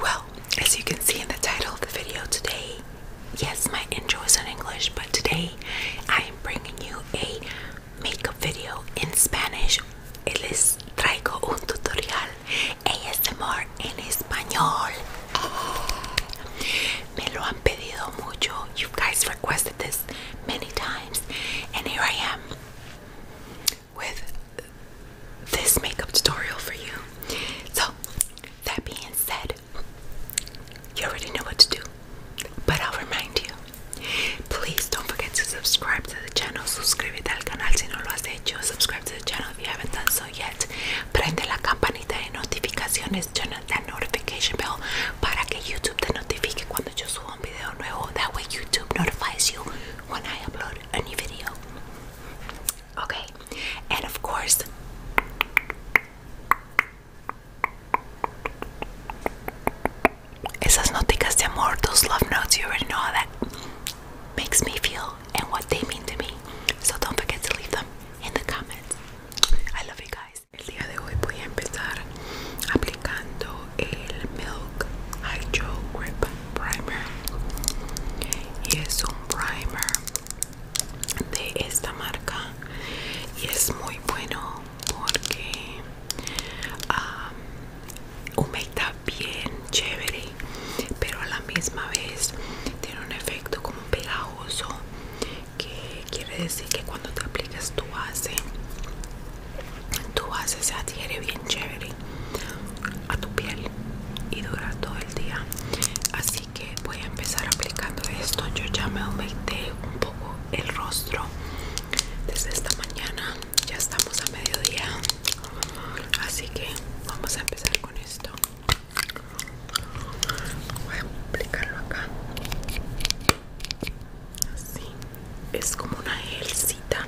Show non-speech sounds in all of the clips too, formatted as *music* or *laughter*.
Well, as you can see in the title of the video today, yes, my intro is in English, but today I am bringing you a makeup video in Spanish. Les traigo un tutorial ASMR en español. You guys requested this many times. And here I am with this makeup tutorial for you. So, that being said, you already know what to do. But I'll remind you. Please don't forget to subscribe to the channel. Suscríbete al canal si no lo has hecho. Subscribe to the channel if you haven't done so yet. Prende la campanita de notificaciones. Turn on that notification bell para que YouTube te notifique cuando yo suba un video nuevo. That way YouTube notifies you when I upload a new video. Okay, and of course, esas noticas de amor, those love notes, you already know how that makes me feel and what they mean to me. So don't forget to leave them in the comments. I love you guys. el día de hoy voy a empezar aplicando el Milk Hydro Grip Primer y es un primer de esta marca y es muy bueno porque humecta bien chévere pero a la misma vez tiene un efecto como pegajoso que quiere decir que cuando te aplicas tu base tu base se adhiere bien chévere a tu piel y dura todo el día así que voy a empezar aplicando esto yo ya me aumente un poco el rostro desde esta mañana ya estamos a mediodía así que vamos a empezar con esto voy a aplicarlo acá Así. Es como una elcita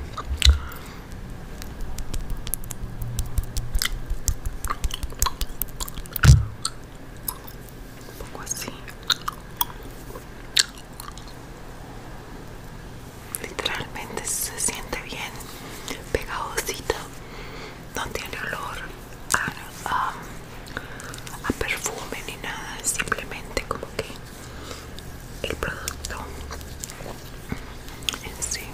Un poco así. Literalmente se siente bien pegajosito, No tiene olor. Um, a, perfume ni nada, simplemente como que el producto en sí.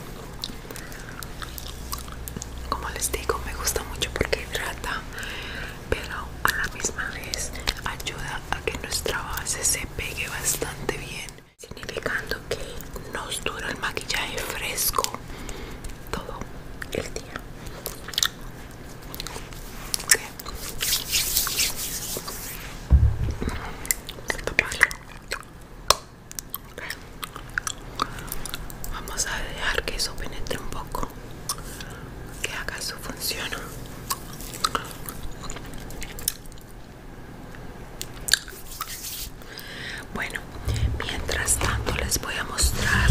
Como les digo, me gusta mucho porque hidrata, pero a la misma vez ayuda a que nuestra base se pegue bastante bien, significando que nos dura el maquillaje fresco todo el día. Vamos a dejar que eso penetre un poco, que haga su función. Bueno, mientras tanto les voy a mostrar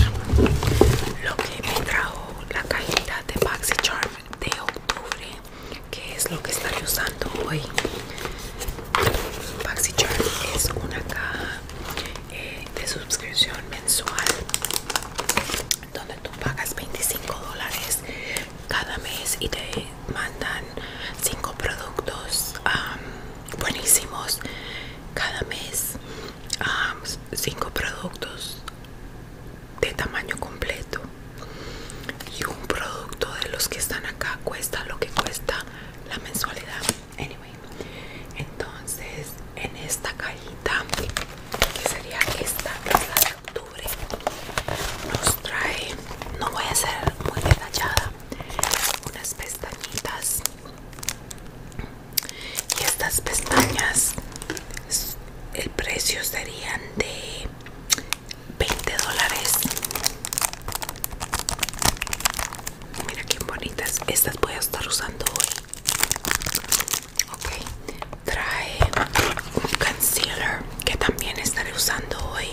lo que me trajo la cajita de Charm de octubre que es lo que estaré usando hoy Charm es una caja eh, de suscripción mensual donde tú pagas 25 dólares cada mes y te mandan 5 productos buenísimos cada mes um, cinco productos de tamaño completo y un producto de los que están acá cuesta lo que cuesta la mensualidad anyway entonces en esta cajita que sería esta es la de octubre nos trae no voy a ser muy detallada unas pestañitas y estas pestañas el precio serían de 20 dólares mira qué bonitas estas voy a estar usando hoy ok trae un concealer que también estaré usando hoy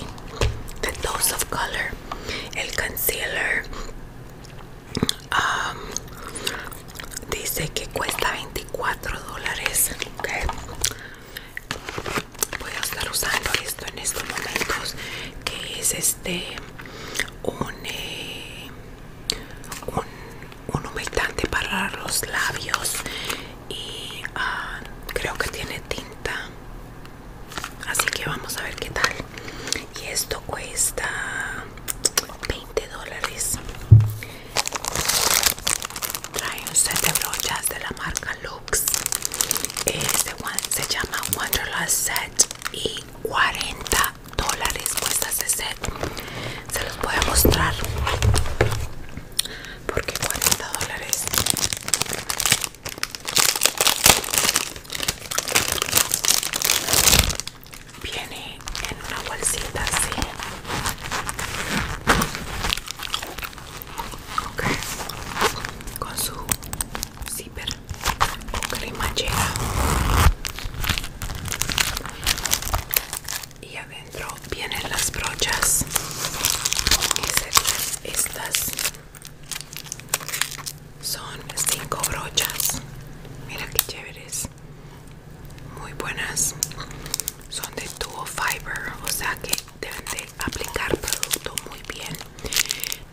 The Dose of Color el concealer dice que cuesta 24 dólares voy a estar usando esto en estos momentos que es este un eh, humectante para los labios y ah, creo que tiene tinta así que vamos a ver qué tal y esto cuesta 20 dólares trae un set de brochas de la marca Lux este se llama Wanderlust Set y 40 dólares cuesta ese set se los voy a mostrar porque 40 dólares viene en una bolsita así con su zipper o cremallera y adentro vienen las brochas y estas son cinco brochas mira que chéveres muy buenas son de duo fiber o sea que deben de aplicar producto muy bien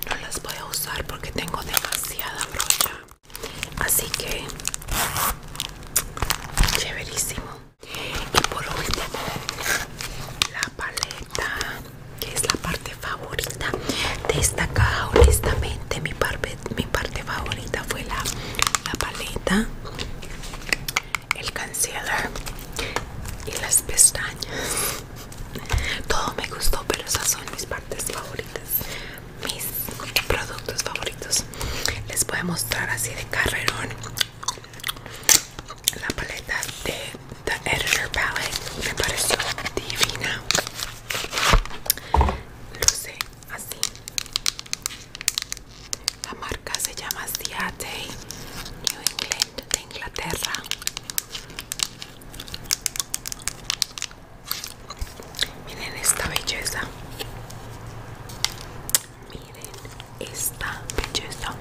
no las voy a usar porque tengo demasiada brocha así que chéverísimo y por último la paleta que es la parte favorita de esta caja honestamente mi, par mi parte favorita fue la, paleta, el concealer y las pestañas. Todo me gustó, pero esas son mis partes favoritas, mis productos favoritos. Les voy a mostrar así de carrerón la paleta de The Editor Palette. Me pareció divina luce así la marca se llama de New England de Inglaterra miren esta belleza miren esta belleza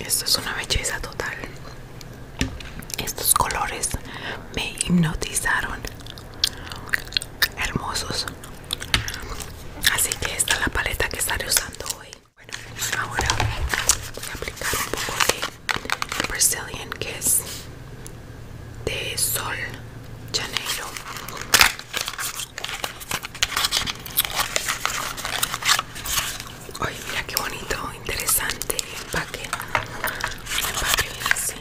esto es una belleza total. Estos colores me hipnotizaron. Hermosos. Así que esta es la paleta que estaré usando hoy. Bueno, ahora voy a aplicar un poco de Brazilian Kiss de Sol Janeiro. Ay, mira qué bonito, interesante empaque. empaque así.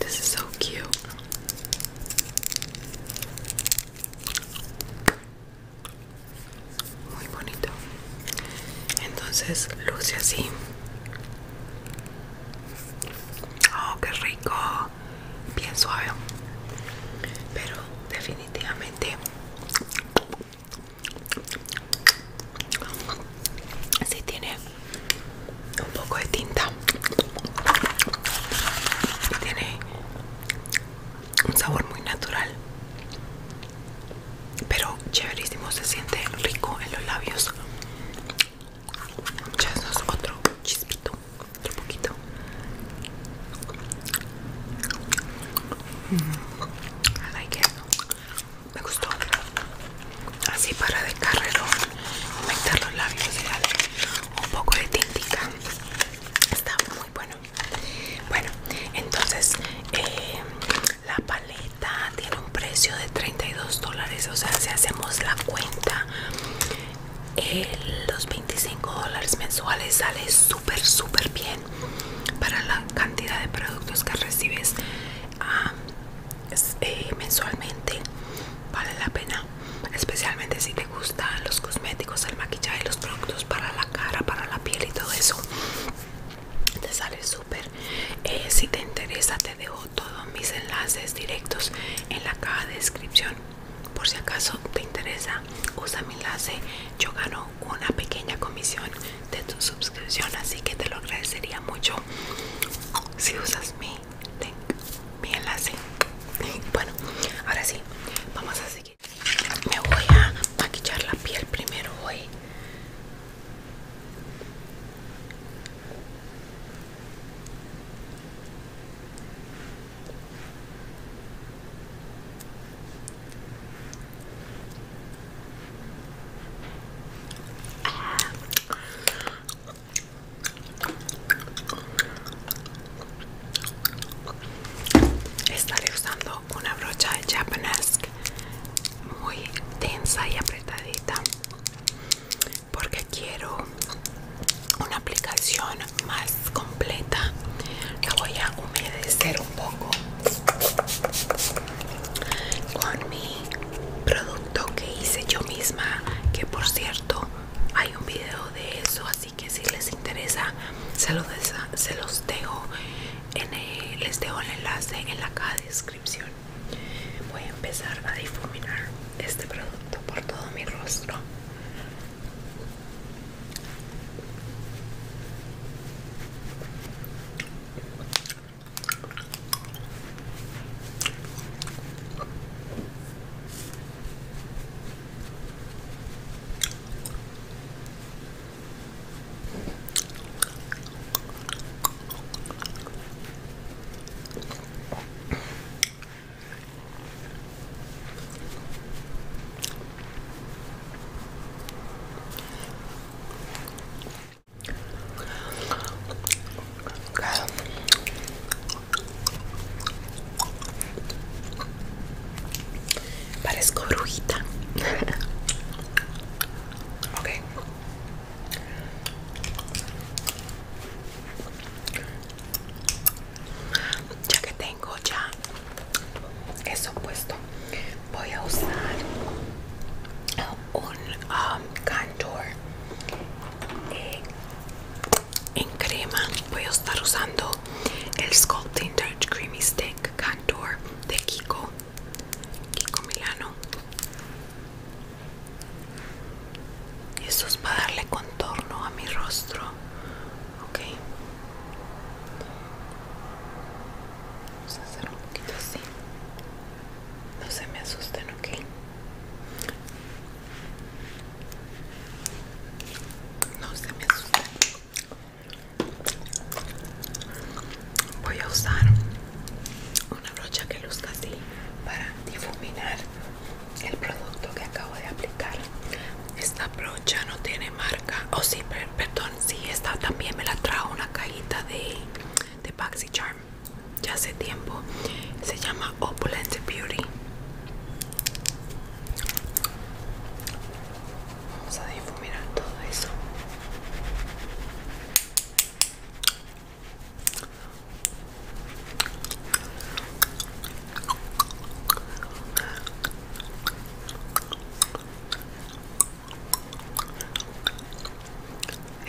This is so cute. Muy bonito. Entonces luce así. Oh, qué rico. Bien suave. Pero definitivamente si tiene un poco de tinta. Tiene un sabor muy natural. Pero chéverísimo, se siente rico en los labios. Ya es otro chispito, otro poquito. I mm. like Me gustó. Así para de carrero, aumentar los labios y darle un poco de tintica. Está muy bueno. Bueno, entonces eh, la paleta tiene un precio de 32 dólares o sea si hacemos la cuenta los 25 dólares mensuales sale súper súper bien para la cantidad de productos que recibes ah, eh, mensualmente vale la pena especialmente si te gustan los cosméticos el maquillaje los productos para la cara para la piel y todo eso te sale súper eh, si te interesa te dejo todos mis enlaces directos en la caja de descripción. Por si acaso te interesa, usa mi enlace. Yo gano una pequeña comisión de tu suscripción, así que te lo agradecería mucho si usas mi mi enlace. *laughs* Bueno, ahora sí, vamos a seguir. Me voy a maquillar la piel primero hoy Estaré usando una brocha de muy tensa y apretadita porque quiero una aplicación más completa la voy a humedecer un poco con mi producto que hice yo misma que por cierto hay un video de eso así que si les interesa se los, dejo en el, les dejo el enlace en la caja de Voy a empezar a difuminar este producto por todo mi rostro. Parezco brujita. *laughs* okay. Ya que tengo ya eso puesto, voy a usar un um, cantor eh, en crema. Voy a estar usando el Sculpting touch Creamy Stick Contour de Kiko Kiko Milano. Esto es para darle contorno a mi rostro. Ok. Vamos a hacer un poquito así. No se me asusten, ok. No se me asusten voy a usar una brocha que luzca así para difuminar el producto que acabo de aplicar esta brocha no tiene marca o si perdón si esta también me la trajo una cajita de de Charm ya hace tiempo se llama Opulent Beauty vamos a difuminar todo eso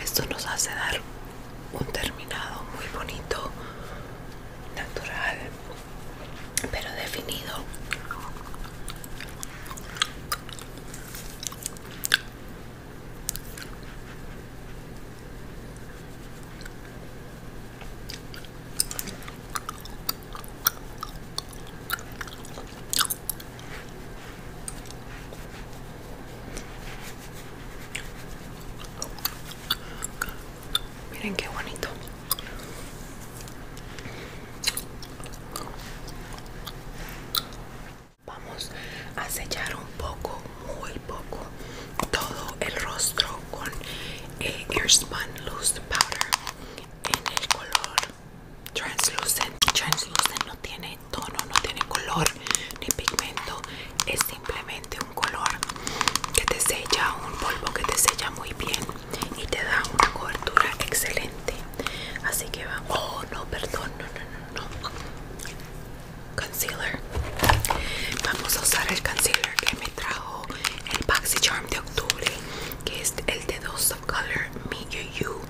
esto nos hace dar un terminado muy bonito, natural, pero definido. Miren qué bonito. Vamos a sellar un poco, muy poco, todo el rostro con eh, Airspun Loose Powder en el color Translucent. Translucent no tiene tono, no tiene color ni pigmento, es simplemente un color que te sella, un polvo que te sella muy bien y te da una cobertura excelente. Así que vamos. Oh, no, perdón, no, no, no. Concealer. Vamos a usar el concealer que me trajo el Paxi Charm de octubre, que es el de dos color Me You You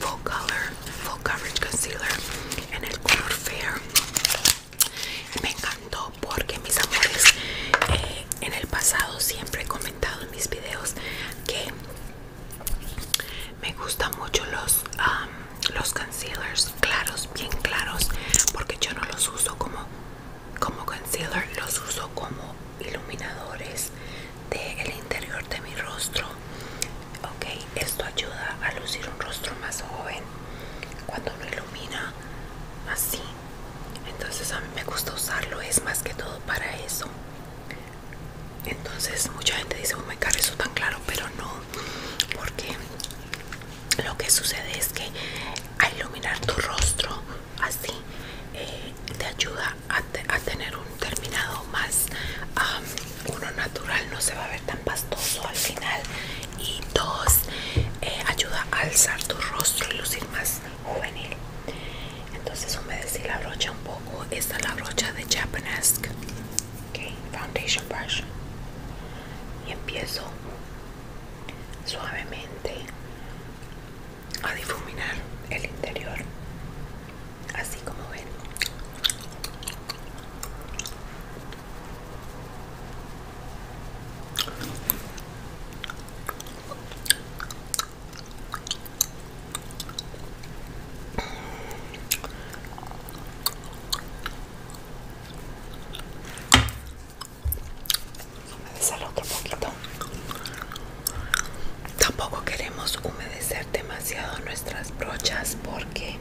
Full Color Full Coverage Concealer en el color Fair. Me encantó porque mis amores, eh, en el pasado siempre he comentado en mis videos que me gustan mucho los, los concealers claros, bien claros, porque yo no los uso como, como concealer, los uso como iluminadores del el interior de mi rostro. Ok, esto ayuda a lucir un rostro más joven cuando lo ilumina así. Entonces a mí me gusta usarlo, es más que todo para eso entonces mucha gente dice oh me encargo eso tan claro pero no porque lo que sucede es que al iluminar tu rostro así eh, te ayuda a, tener un terminado más uno natural no se va a ver tan pastoso al final y dos eh, ayuda a alzar tu rostro y lucir más juvenil entonces humedecí la brocha un poco esta es la brocha de Japanesque okay, foundation brush y empiezo suavemente a difuminar el interior así como ven Humedecerlo otro poquito. Tampoco queremos humedecer demasiado nuestras brochas porque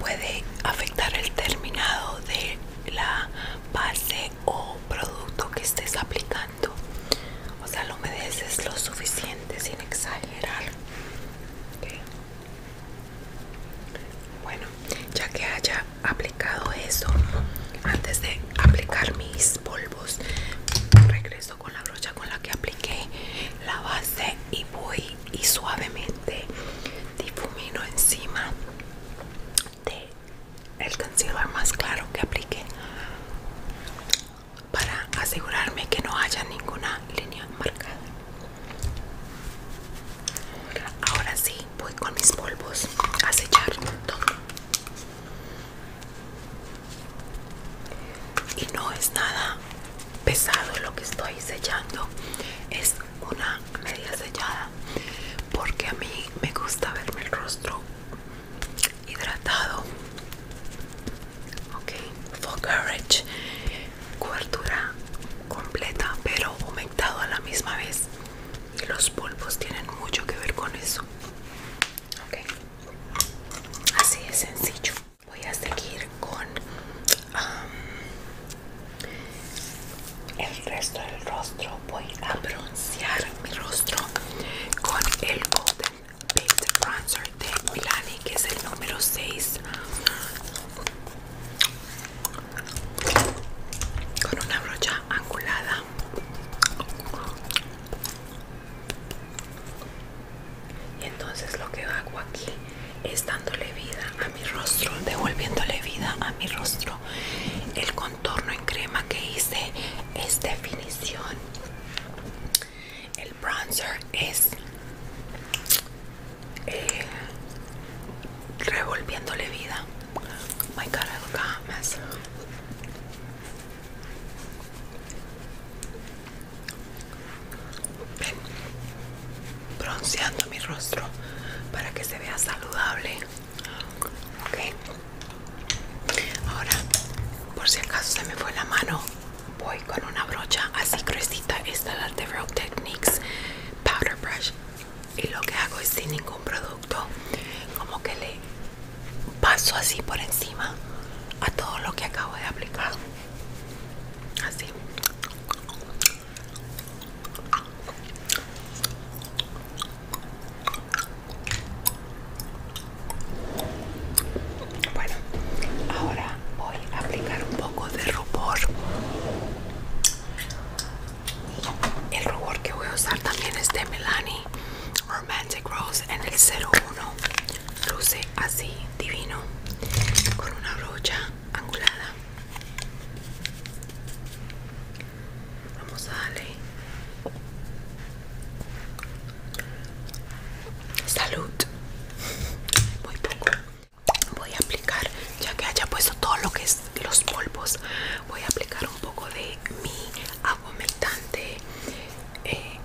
puede afectar el terminado de la base o producto que estés aplicando. O sea, lo humedeces lo suficiente sin exagerar bueno ya que haya aplicado eso antes de aplicar mis polvos regreso con la brocha con la que apliqué la base y voy y suavemente difumino encima de el concealer más claro que apliqué para asegurarme que no haya ninguna línea marcada. Ahora sí, voy con mis polvos a sellar todo. Y no es nada pesado lo que estoy sellando, es una media sellada porque a mí me gusta verme el rostro hidratado ok full coverage cobertura completa pero humectado a la misma vez y los polvos tienen mucho que ver con eso ok así es sencillo voy a seguir con um, el resto del rostro voy a broncear mi rostro con el Paste Bronzer de Milani, que es el número 6. Con una brocha angulada. Y entonces lo que hago aquí es dándole vida a mi rostro, devolviéndole vida a mi rostro. El contorno en crema que hice es definición. El bronzer es eh, revolviéndole vida. Oh my god, bronceando mi rostro para que se vea saludable. Ok. Ahora, por si acaso se me fue la mano voy con una brocha así gruesita, esta es la de Row Techniques Powder Brush y lo que hago es sin ningún producto, como que le paso así por encima a todo lo que acabo de aplicar, así. Bueno, ahora voy a aplicar un poco de rubor. El rubor que voy a usar también es de melanie Romantic Rose en el 01. Luce así, divino, con una brocha angulada. Vamos a darle Salud. Muy poco. Voy a aplicar, ya que haya puesto todo lo que es los polvos, voy a aplicar un poco de mi aguamentante eh,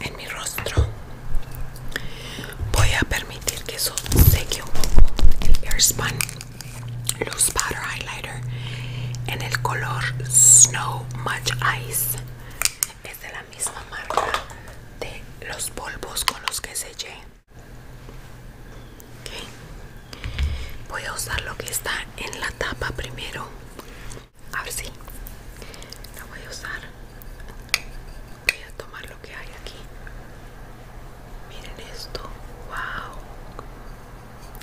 en mi rostro. Voy a permitir que eso seque un poco el airspan. los powder en el color Snow Much Ice. Es de la misma marca de los polvos con los que sellé. Voy a usar lo que está en la tapa primero. A ver si sí. la voy a usar. Voy a tomar lo que hay aquí. Miren esto. Wow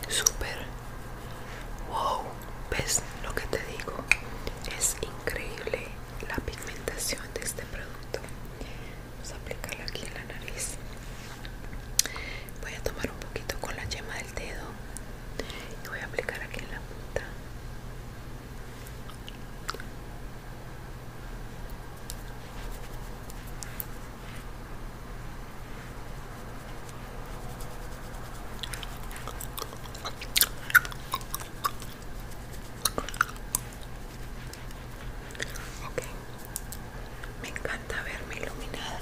súper wow ves lo que te digo es increíble la pigmentación de este producto vamos a aplicarlo aquí en la nariz voy a tomar un poquito con la yema del dedo y voy a aplicar aquí en la punta me encanta verme iluminada.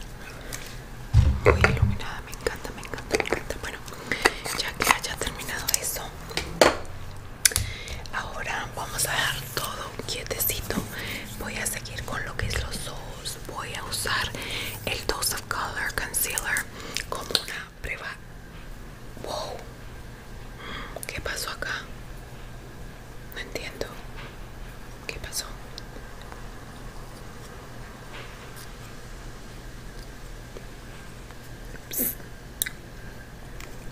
Muy iluminada, me encanta, me encanta, me encanta. Bueno, ya que haya terminado eso, ahora vamos a dejar todo quietecito. Voy a seguir con lo que es los ojos voy a usar el Dose of Color Concealer como una prueba. Wow, mm, ¿qué pasó acá? No entiendo. ¿Qué pasó?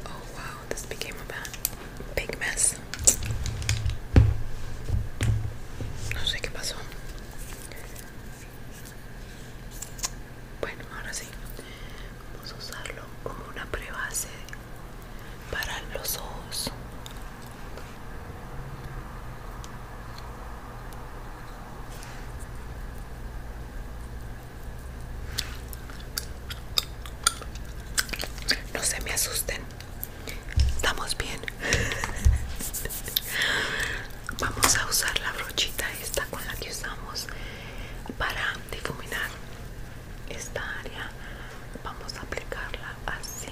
Oh wow, this became a big mess. No sé qué pasó. Bueno, ahora sí. Vamos a usarlo como una prebase para los ojos. No se me asusten. Estamos bien. *laughs* Vamos a usar la brochita esta con la que usamos para difuminar esta área. Vamos a aplicarla así.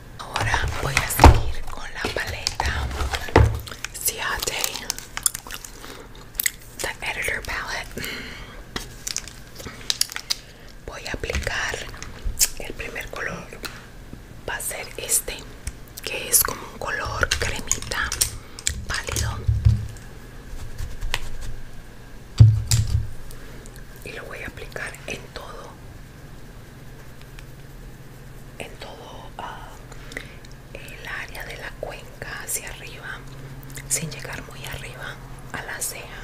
Ahora voy a seguir con la paleta Ciate, the editor palette. Voy a aplicar el primer color, va a ser este, que es como un color cremita pálido. Y lo voy a aplicar en todo en todo ah, el área de la cuenca hacia arriba sin llegar muy arriba a la ceja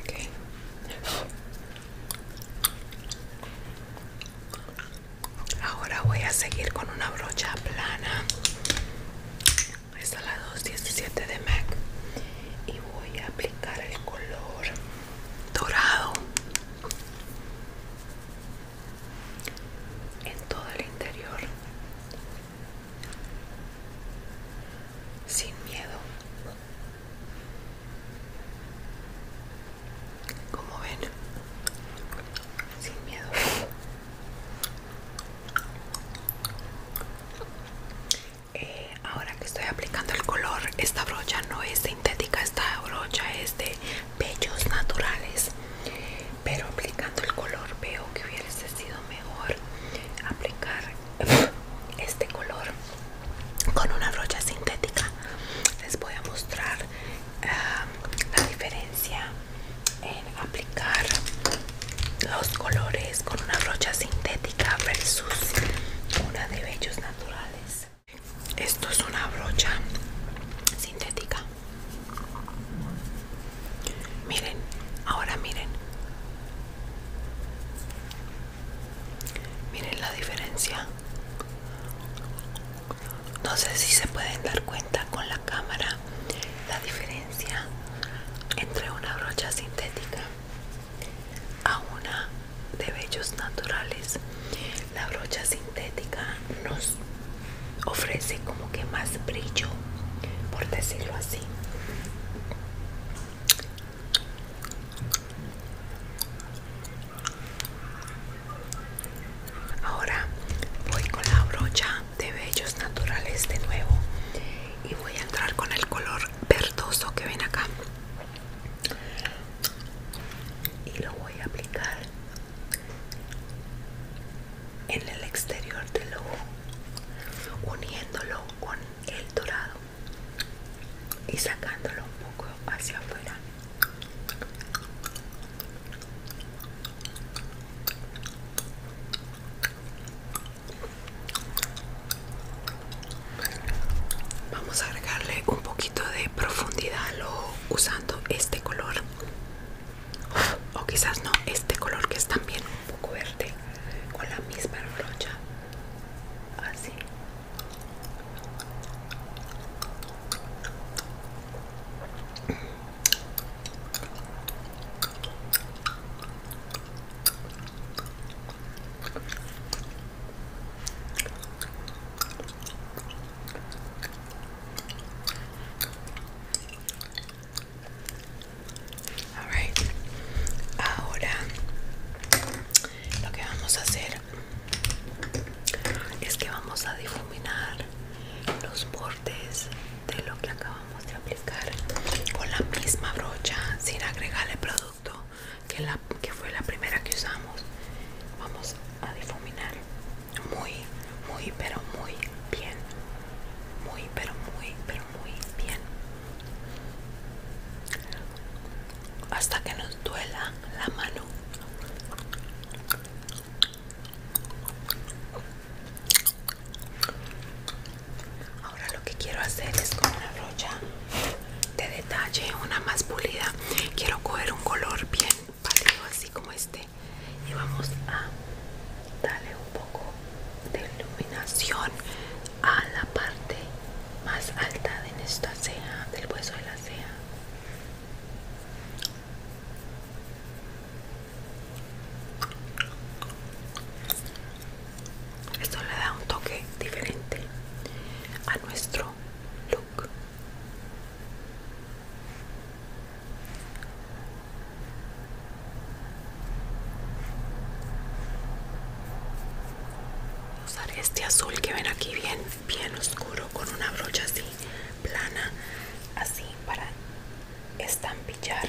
Okay. Ahora voy a seguir con una brocha plana esta es la 217 de MAC. Y voy a aplicar el color dorado en todo el interior. Sin miedo. Como ven, sin miedo. Eh, ahora que estoy aplicando el color esta brocha no es sintética esta brocha es de pechos naturales pero aplicando el color veo que hubiese sido mejor aplicar *laughs* este color con una brocha sintética les voy a mostrar ah, la diferencia en aplicar los colores con una brocha sintética versus una de bellos naturales. Esto es una brocha sintética. Miren, ahora miren. Miren la diferencia. No sé si se pueden dar cuenta con la cámara la diferencia entre una brocha sintética a una de bellos naturales la brocha sintética nos ofrece como que más brillo por decirlo así ahora voy con la brocha de bellos naturales de nuevo y voy a entrar con el color verdoso que ven acá y lo voy a aplicar en el exterior del ojo uniéndolo con el dorado y sacándolo un poco hacia afuera Vamos a agregarle un poquito de profundidad lo, usando este color. O quizás no, este color que es también un poco verde. Con la misma brocha. Así. Ahora lo que vamos a hacer es que vamos a difuminar los bordes de lo que acabamos Vamos a aplicar con la misma brocha sin agregar el producto que, la, que fue la primera que usamos vamos a difuminar muy muy pero muy bien muy pero muy pero muy bien hasta que nos duela la mano Ahora lo que quiero hacer es con una brocha de detalle, una más pulida. Quiero coger un color bien pálido, así como este. Y vamos a darle un poco de iluminación a la parte más alta de nuestra ceja, del hueso de la ceja. Esto le da un toque diferente a nuestro look. usar este azul que ven aquí bien, bien oscuro con una brocha así plana, así para estampillar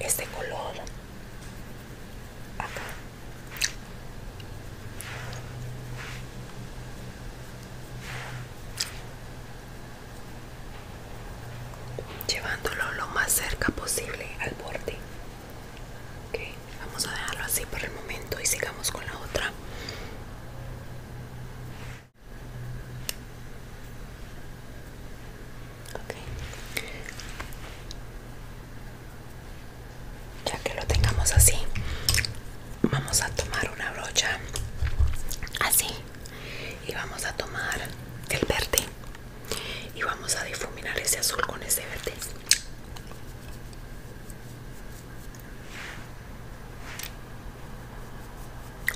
este color llevándolo lo más cerca posible al borde vamos a dejarlo así por el momento y sigamos con la otra ya que lo tengamos así vamos a tomar una brocha así y vamos a tomar el verde y vamos a difuminar ese azul con ese verde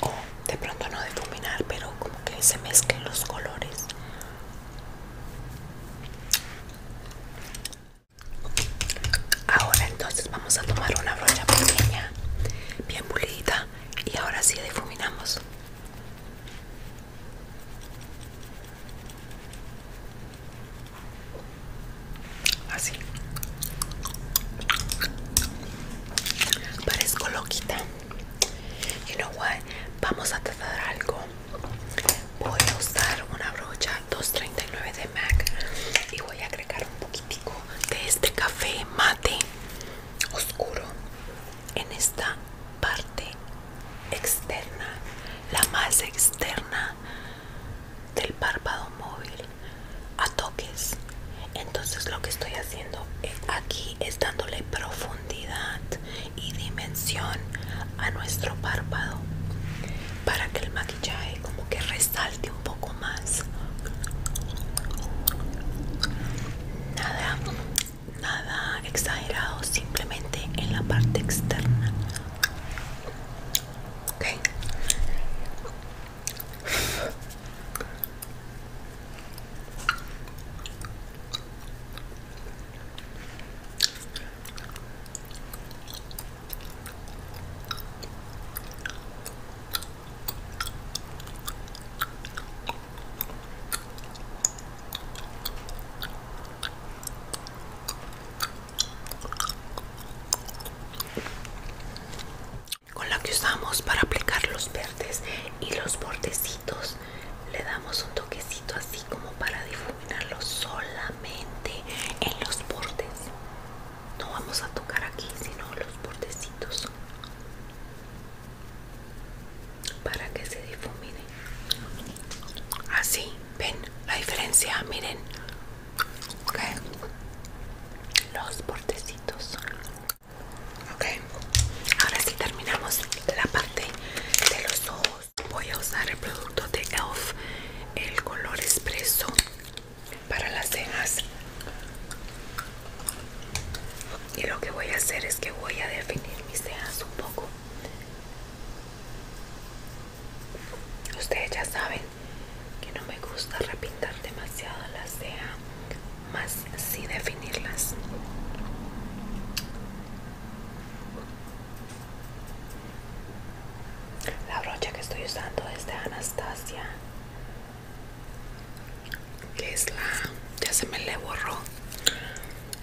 o de pronto no difuminar pero como que se mezclen los colores Ahora entonces vamos a tomar una brocha pequeña, bien pulida y ahora sí difuminamos. Así. Parezco loquita. You know what? Vamos a tratar algo. Voy a usar una brocha 239 de MAC y voy a agregar un poquitico de este café mate oscuro en esta parte externa, la más externa del párpado móvil a toques. Entonces lo que estoy haciendo es aquí es dándole profundidad y dimensión a nuestro párpado para que el maquillaje como que resalte un poco más nada nada exagerado simplemente en la parte externa ok con la que usamos para aplicar los verdes y los bordecitos le damos un toquecito así como para difuminarlo solamente en los bordes no vamos a tocar aquí sino los bordecitos para que se difumine así ven la diferencia miren los bordecitos Ok, ahora si terminamos la parte de los ojos. Voy a usar el producto de ELF, el color expreso para las cejas. Y lo que voy a hacer es que voy a definir mis cejas un poco. Ustedes ya saben que no me gusta repintar demasiado la ceja más así definirlas. La brocha que estoy usando es de Anastasia, que es la, ya se me le borró,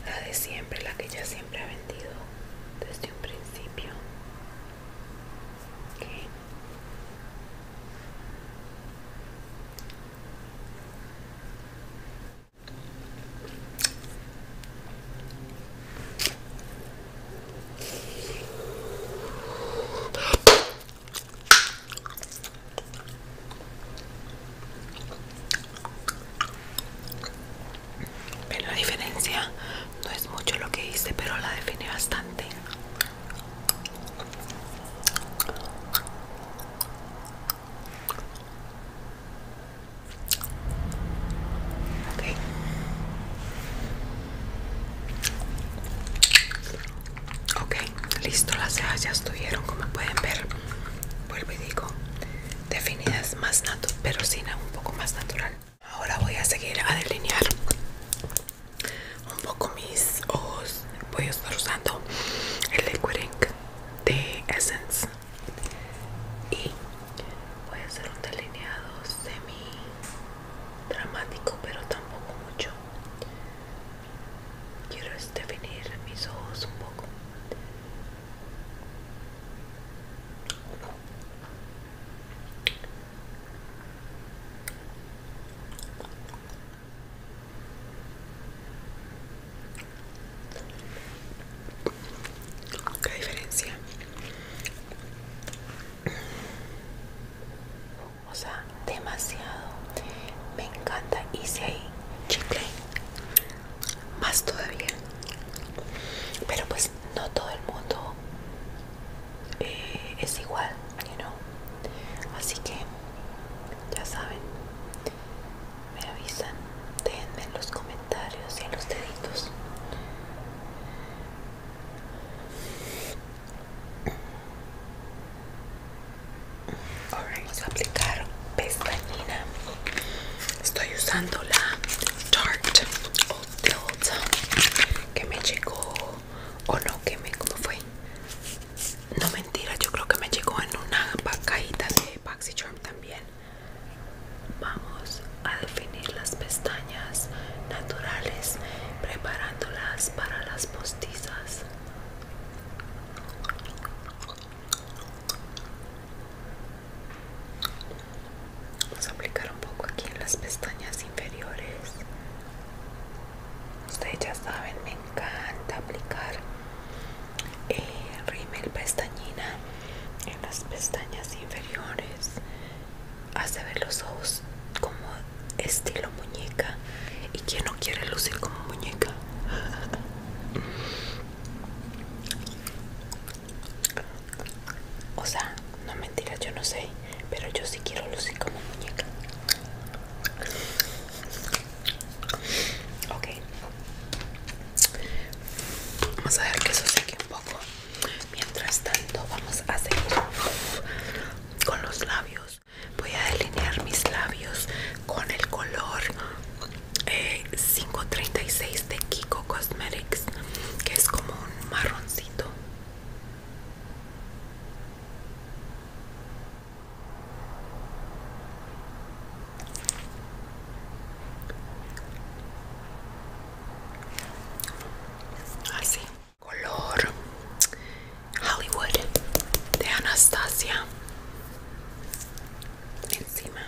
la de siempre, la que ya siempre ha vendido desde un principio. Pero la diferencia no es mucho lo que hice, pero la define bastante. Okay. ok, listo, las cejas ya estuvieron como pueden ver. Vuelvo y digo, definidas más natural, pero sin un poco más natural. Ahora voy a seguir a delinear un poco mis ojos. Voy a estar usando el liquid ink de Essence y voy a hacer un delineado semi dramático pero tampoco mucho quiero definir mis ojos un poco ¿Qué diferencia? O sea, demasiado. Me encanta. Y si hay chicle, más todavía. Pero pues no todo el mundo eh, es igual, you Así que ya saben me avisan déjenme en los comentarios y en los deditos Ahora vamos a aplicar pestañina estoy usando la Tarte Old que me llegó o no que me cómo fue no mentira, yo creo que me llegó en una cajita de Charm también. Vamos a definir las pestañas naturales preparándolas para las postizas. Vamos a aplicar un poco aquí en las pestañas inferiores ustedes ya saben me encanta aplicar eh, rímel pestañina en las pestañas inferiores hace ver los ojos como estilo muñeca y quien no quiere lucir como muñeca *laughs* o sea no mentiras yo no sé pero yo sí quiero lucir como muñeca Ok. Vamos a ver que eso seque un poco. Mientras tanto, vamos a seguir con los labios. Voy a delinear mis labios con el color 536 eh, de Kiko Cosmetics, que es como un marroncito. Así, color Hollywood de Anastasia encima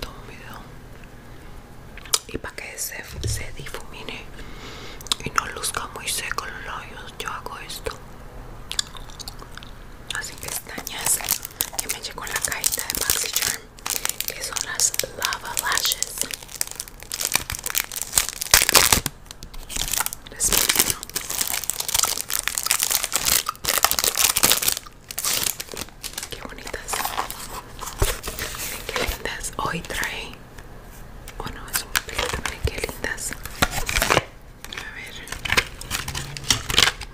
tomo video y para que se, se difumine y no luzca muy seco los labios, yo hago esto así que estañas que me llegó la cajita de Maxi que son las Lava Lashes Qué bonitas Miren qué lindas Hoy trae Oh no, es un pelito, Miren qué lindas a ver,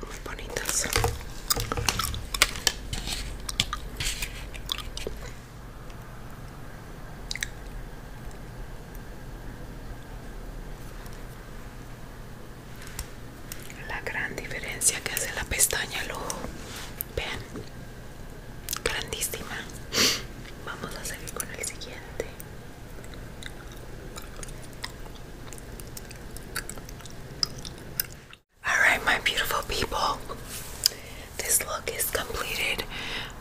muy bonitas. La gran diferencia que hace la pestaña al ojo, vean, grandísima. Vamos a seguir con el siguiente. Alright, my beautiful people, this look is completed.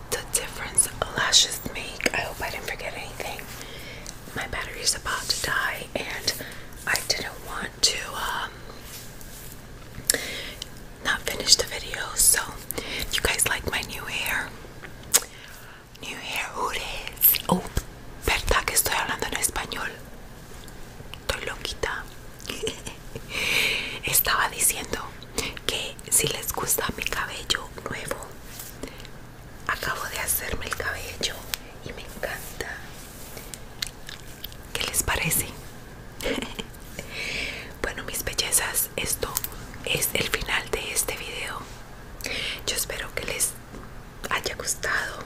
The difference lashes make. I hope I didn't forget anything. My battery is about to die, and I didn't want to um, not finish the video. So, you guys like my new hair, New hair who Oh, verdad que estoy hablando en español. Estoy loquita. *laughs* Estaba diciendo que si les gusta mi cabello nuevo, acabo de hacerme el cabello y me encanta. ¿Qué les parece? *laughs* bueno, mis bellezas, esto es el final de este video. Yo espero que les haya gustado.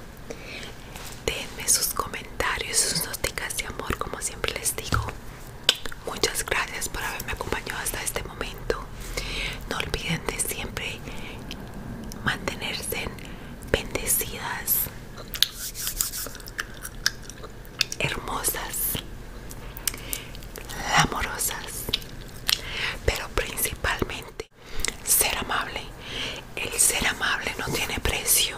Denme sus comentarios, sus noticias de amor, como siempre les digo. Muchas gracias por haberme acompañado hasta este momento. No olviden de siempre mantenerse bendecidas, hermosas amorosas, pero principalmente ser amable. El ser amable no tiene precio,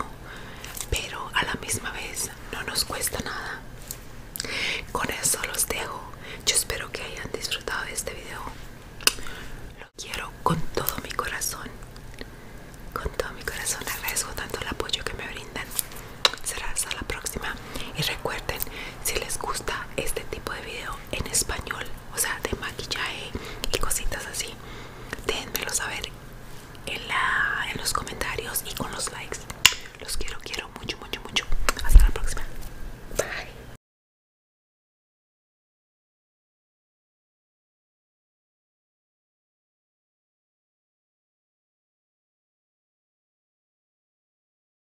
pero a la misma vez no nos cuesta nada. Con eso los dejo. Yo espero que hayan disfrutado de este video. Lo quiero con todo mi corazón. Con todo mi corazón agradezco tanto el apoyo que me brindan. Serás a la próxima. Y recuerden, si les gusta este tipo de video en español o sea de maquillaje y cositas así déjenmelo saber en, en los comentarios y con los likes los quiero quiero mucho mucho mucho hasta la próxima bye